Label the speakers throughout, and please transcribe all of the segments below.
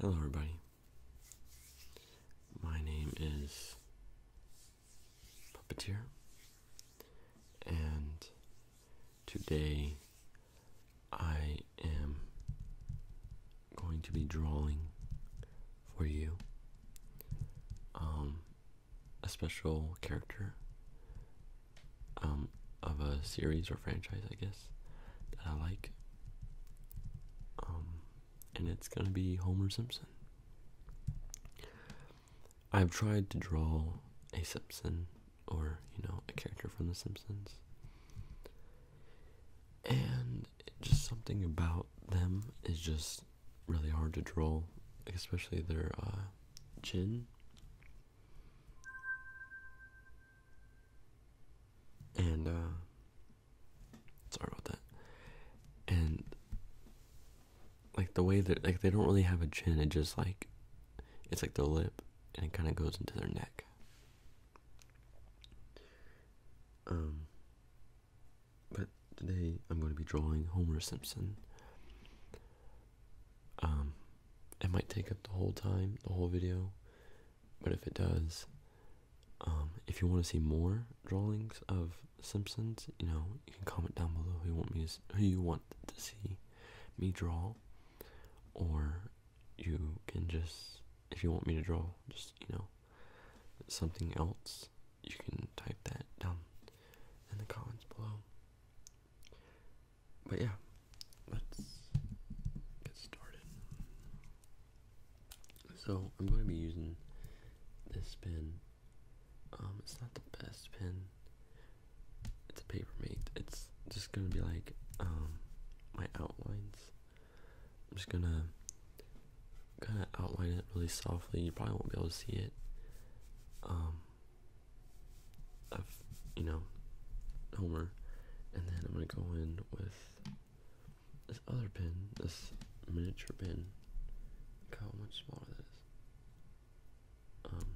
Speaker 1: Hello, everybody. My name is Puppeteer, and today I am going to be drawing for you um, a special character um, of a series or franchise, I guess, that I like. Um, and it's gonna be Homer Simpson. I've tried to draw a Simpson or, you know, a character from The Simpsons. And just something about them is just really hard to draw, especially their uh, chin and uh, sorry about that and like the way that like they don't really have a chin it just like it's like their lip and it kind of goes into their neck um but today i'm going to be drawing homer simpson um it might take up the whole time the whole video but if it does, um, if you want to see more drawings of Simpsons, you know, you can comment down below who you want me who you want to see me draw, or you can just if you want me to draw, just you know, something else. You can type that down in the comments below but yeah, let's get started. So I'm going to be using this pen. Um, it's not the best pen. It's a Papermate. It's just gonna be like um my outlines. I'm just gonna kind of outline it really softly. You probably won't be able to see it. Um, you know, Homer. And then I'm going to go in with this other pin, this miniature pin. Look how much smaller that is. Um,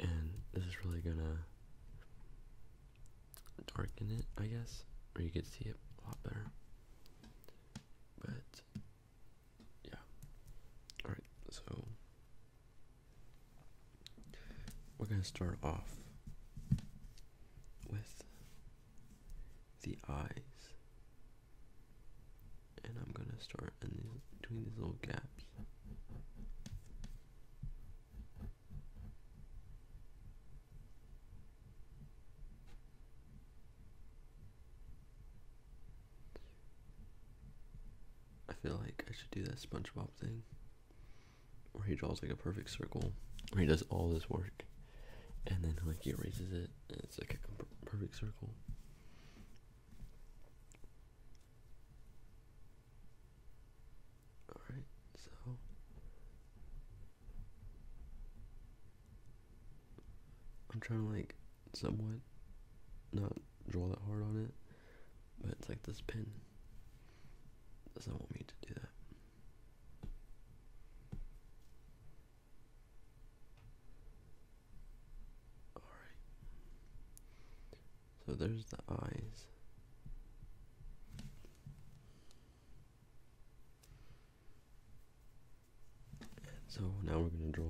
Speaker 1: and this is really going to darken it, I guess, or you could see it a lot better. But, yeah. Alright, so we're going to start off with the eyes, and I'm going to start in these, these little gaps. I feel like I should do that SpongeBob thing where he draws like a perfect circle where he does all this work and then like he erases it and it's like a perfect circle all right so i'm trying to like somewhat not draw that hard on it, but it's like this pin doesn't want me to do that. Alright. So there's the eyes. so now we're going to draw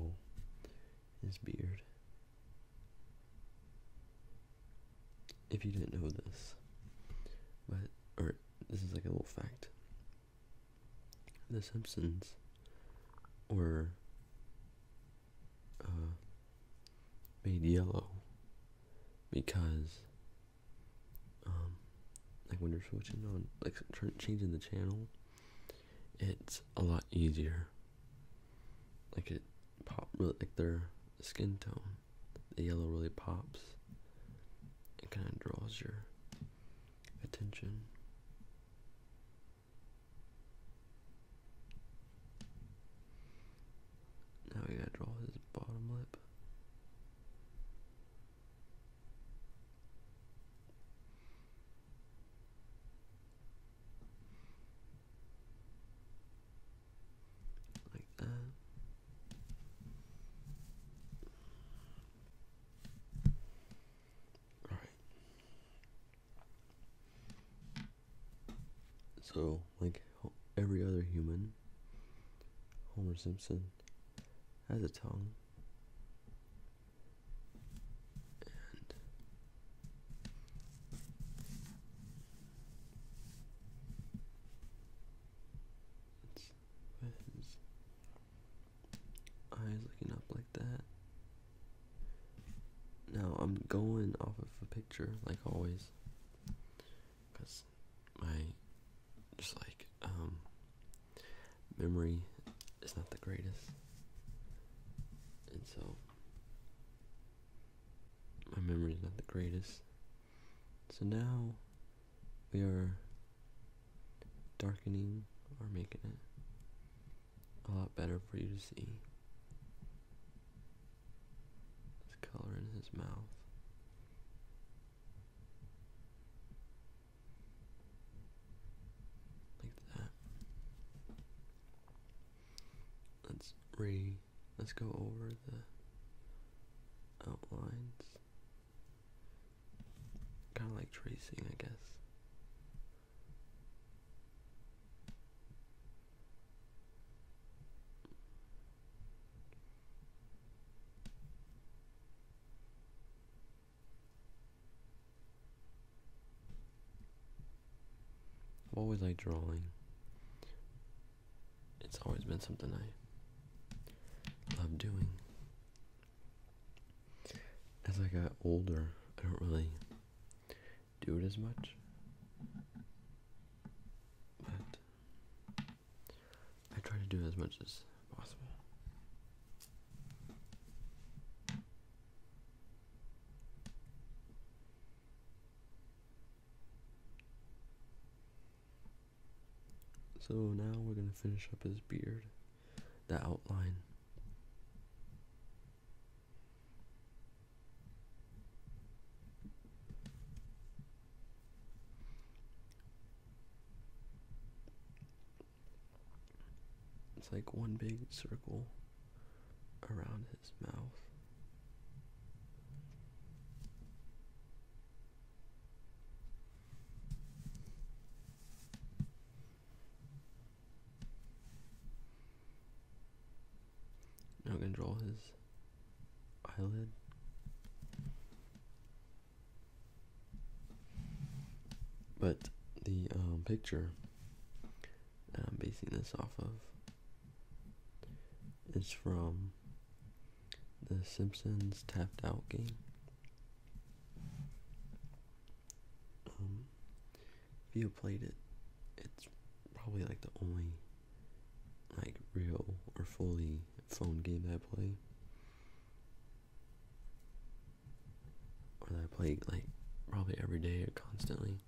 Speaker 1: this beard. If you didn't know this, but or this is like a little fact. The Simpsons were uh, made yellow because um, like when you're switching on like changing the channel it's a lot easier like it pop like their skin tone. The yellow really pops. It kind of draws your attention. Now we gotta draw his bottom lip. Like that. All right. So, like every other human, Homer Simpson has a tongue. It's, eyes looking up like that. Now I'm going off of a picture, like always, because my just like um, memory is not the greatest, and so my memory is not the greatest. So now we are darkening or making it a lot better for you to see. color in his mouth. Like that let's re let's go over the outlines. Kind of like tracing, I guess. I've always liked drawing. It's always been something I love doing. As I got older, I don't really do it as much. But I try to do as much as possible. So now we're going to finish up his beard, the outline. It's like one big circle around it his mouth. Now I can draw his eyelid. But the um, picture I'm basing this off of is from the Simpsons Tapped Out game. Um, if you played it, it's probably like the only like real or fully phone game that I play. Or that I play like probably every day or constantly.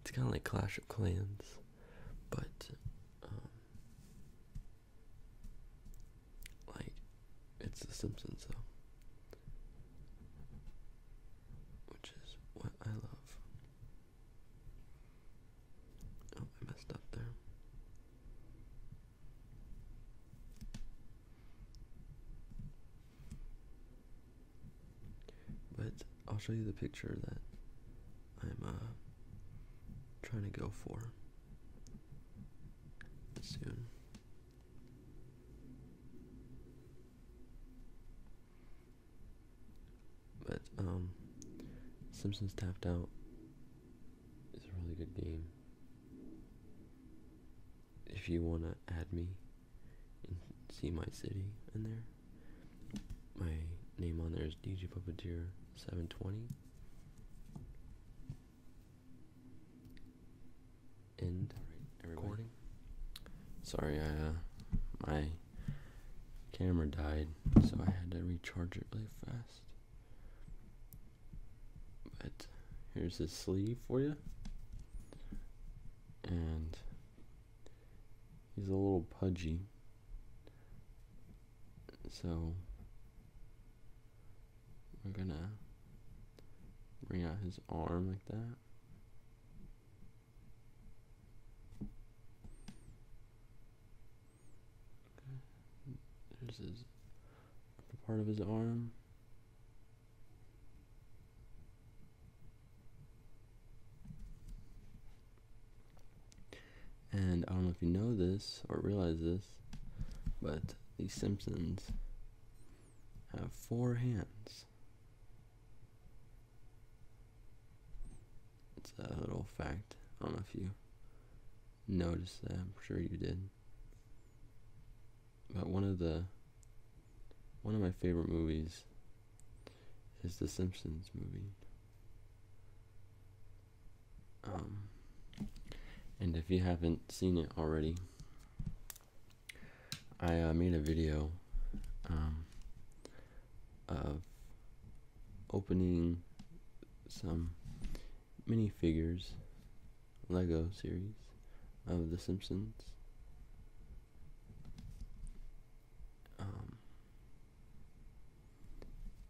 Speaker 1: It's kind of like Clash of Clans, but um, like it's The Simpsons, though, which is what I love. Oh, I messed up there. But I'll show you the picture that I'm uh, trying to go for soon. But um, Simpsons Tapped Out is a really good game if you want to add me and see my city in there, my name on there is DJ Puppeteer 720. End recording. Sorry, I uh, my camera died, so I had to recharge it really fast. But here's this sleeve for you and he's a little pudgy. So we're gonna bring out his arm like that. There's his part of his arm. And I don't know if you know this or realize this, but the Simpsons have four hands. It's a little fact. I don't know if you noticed that. I'm sure you did but one of the one of my favorite movies is the Simpsons movie. Um, and if you haven't seen it already, I uh, made a video um, of opening some minifigures Lego series of The Simpsons. Um,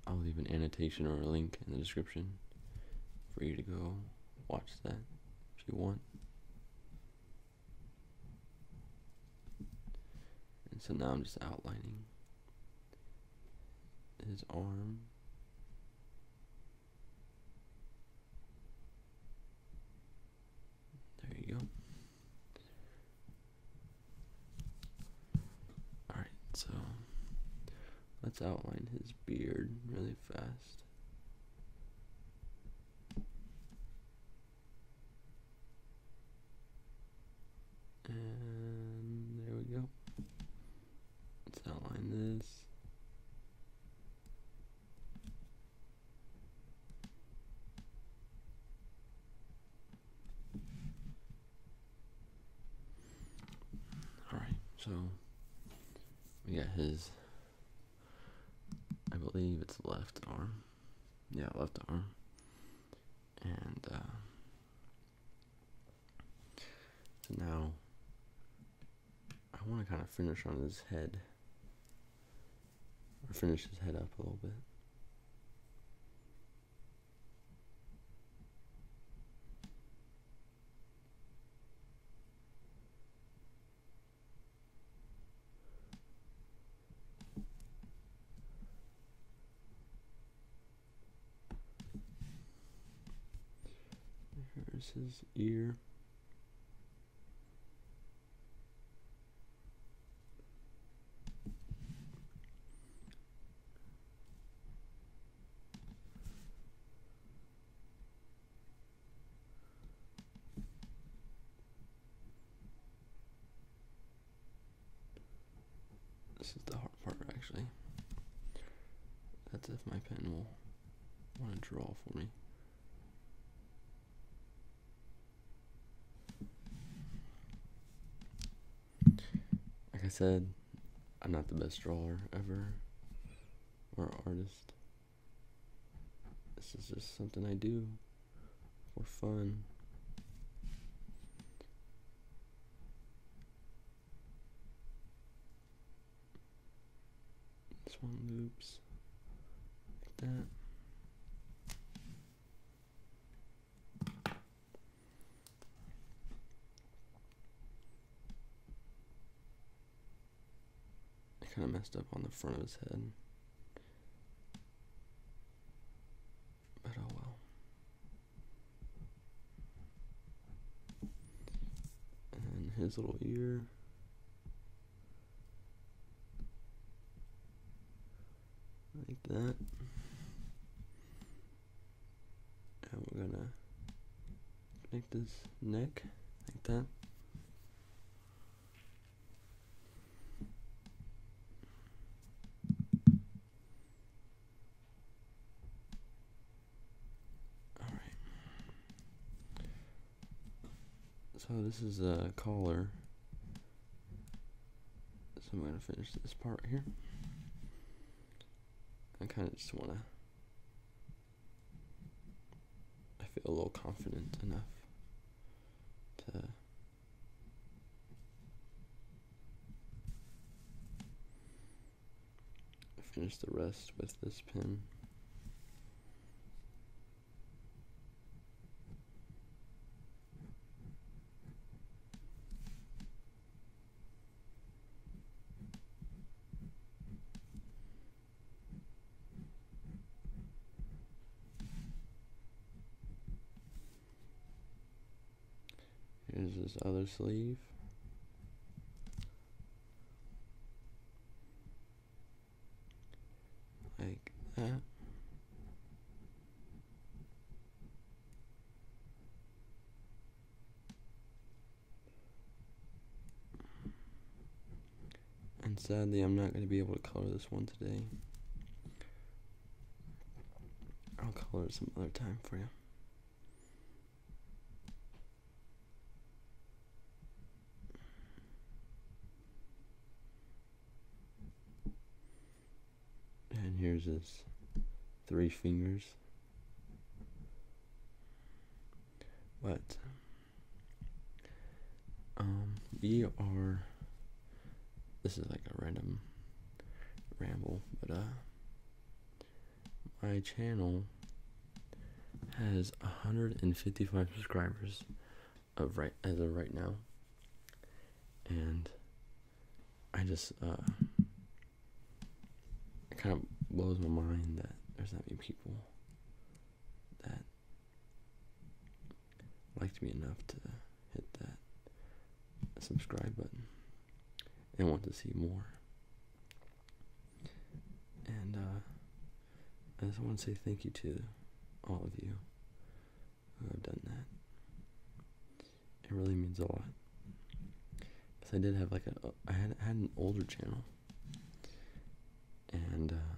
Speaker 1: I'll leave an annotation or a link in the description for you to go watch that if you want. And so now I'm just outlining his arm. There you go. Alright, so let's outline his beard really fast. And there we go. Let's outline this. All right, so we got his. I believe it's left arm. Yeah, left arm. And uh, so now I want to kind of finish on his head. Or finish his head up a little bit. Here's his ear. This is the hard part actually. That's if my pen will want to draw for me. Like I said, I'm not the best drawer ever or artist. This is just something I do for fun. This one loops like that. I kind of messed up on the front of his head. But oh well. And his little ear. Like that. And we're gonna make this neck like that. All right. So this is a collar. So I'm gonna finish this part here. I kind of just wanna. I feel a little confident enough to finish the rest with this pin. Here's this other sleeve. Like that. And sadly, I'm not going to be able to color this one today. I'll color it some other time for you. And here's his three fingers. But um, we are. This is like a random ramble, but uh, my channel has 155 subscribers of right as of right now and i just uh, it kind of blows my mind that there's that many people that liked me enough to hit that subscribe button and want to see more and uh, I just want to say thank you to all of you who have done that. It really means a lot. Because I did have like a, I had, had an older channel. And uh,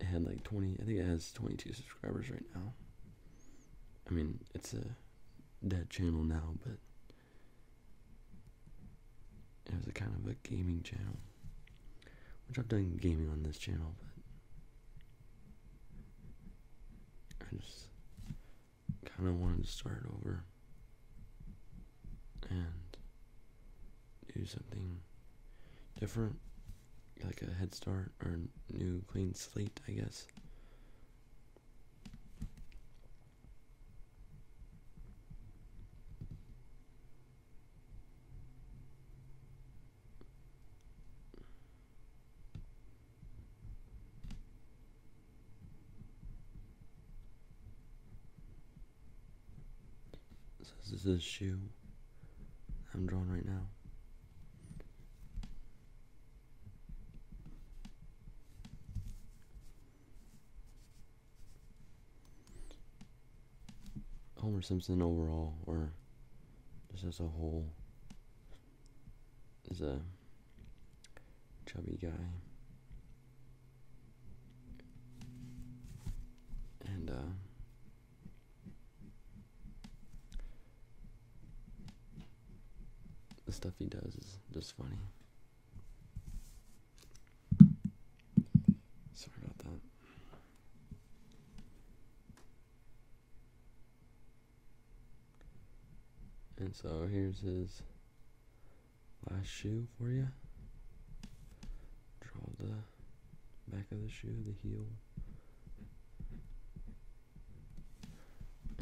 Speaker 1: it had like 20, I think it has 22 subscribers right now. I mean, it's a dead channel now, but it was a kind of a gaming channel. Which I've done gaming on this channel, but I just kind of wanted to start over and do something different, like a head start or new clean slate, I guess. So this is a shoe I'm drawing right now. Homer Simpson overall, or just as a whole, is a chubby guy. And, uh, the stuff he does is just funny. Sorry about that. And so here's his last shoe for you. Draw the back of the shoe, the heel.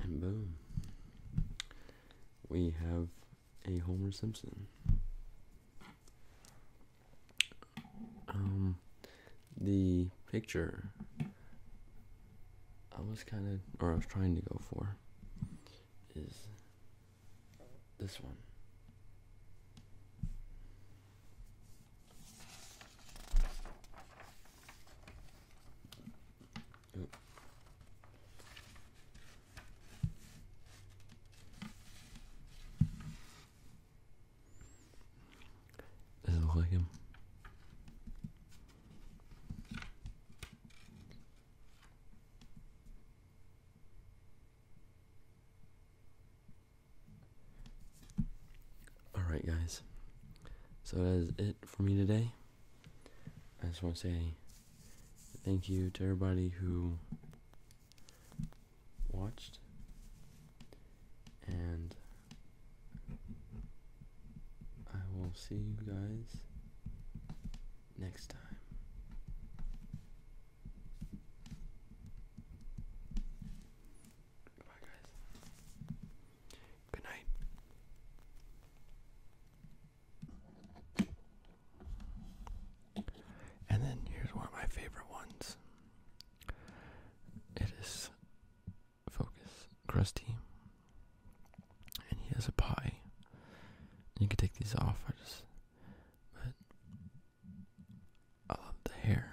Speaker 1: And boom. We have a Homer Simpson. Um, the picture I was kind of, or I was trying to go for, is this one. Does it look like him? Alright, guys. So that is it for me today. I just want to say thank you to everybody who watched and I will see you guys next time. Goodbye, guys. Good night. And then here's one of my favorite ones. It is Focus Krusty, and he has a pie. You can take these off. I just, but I love the hair.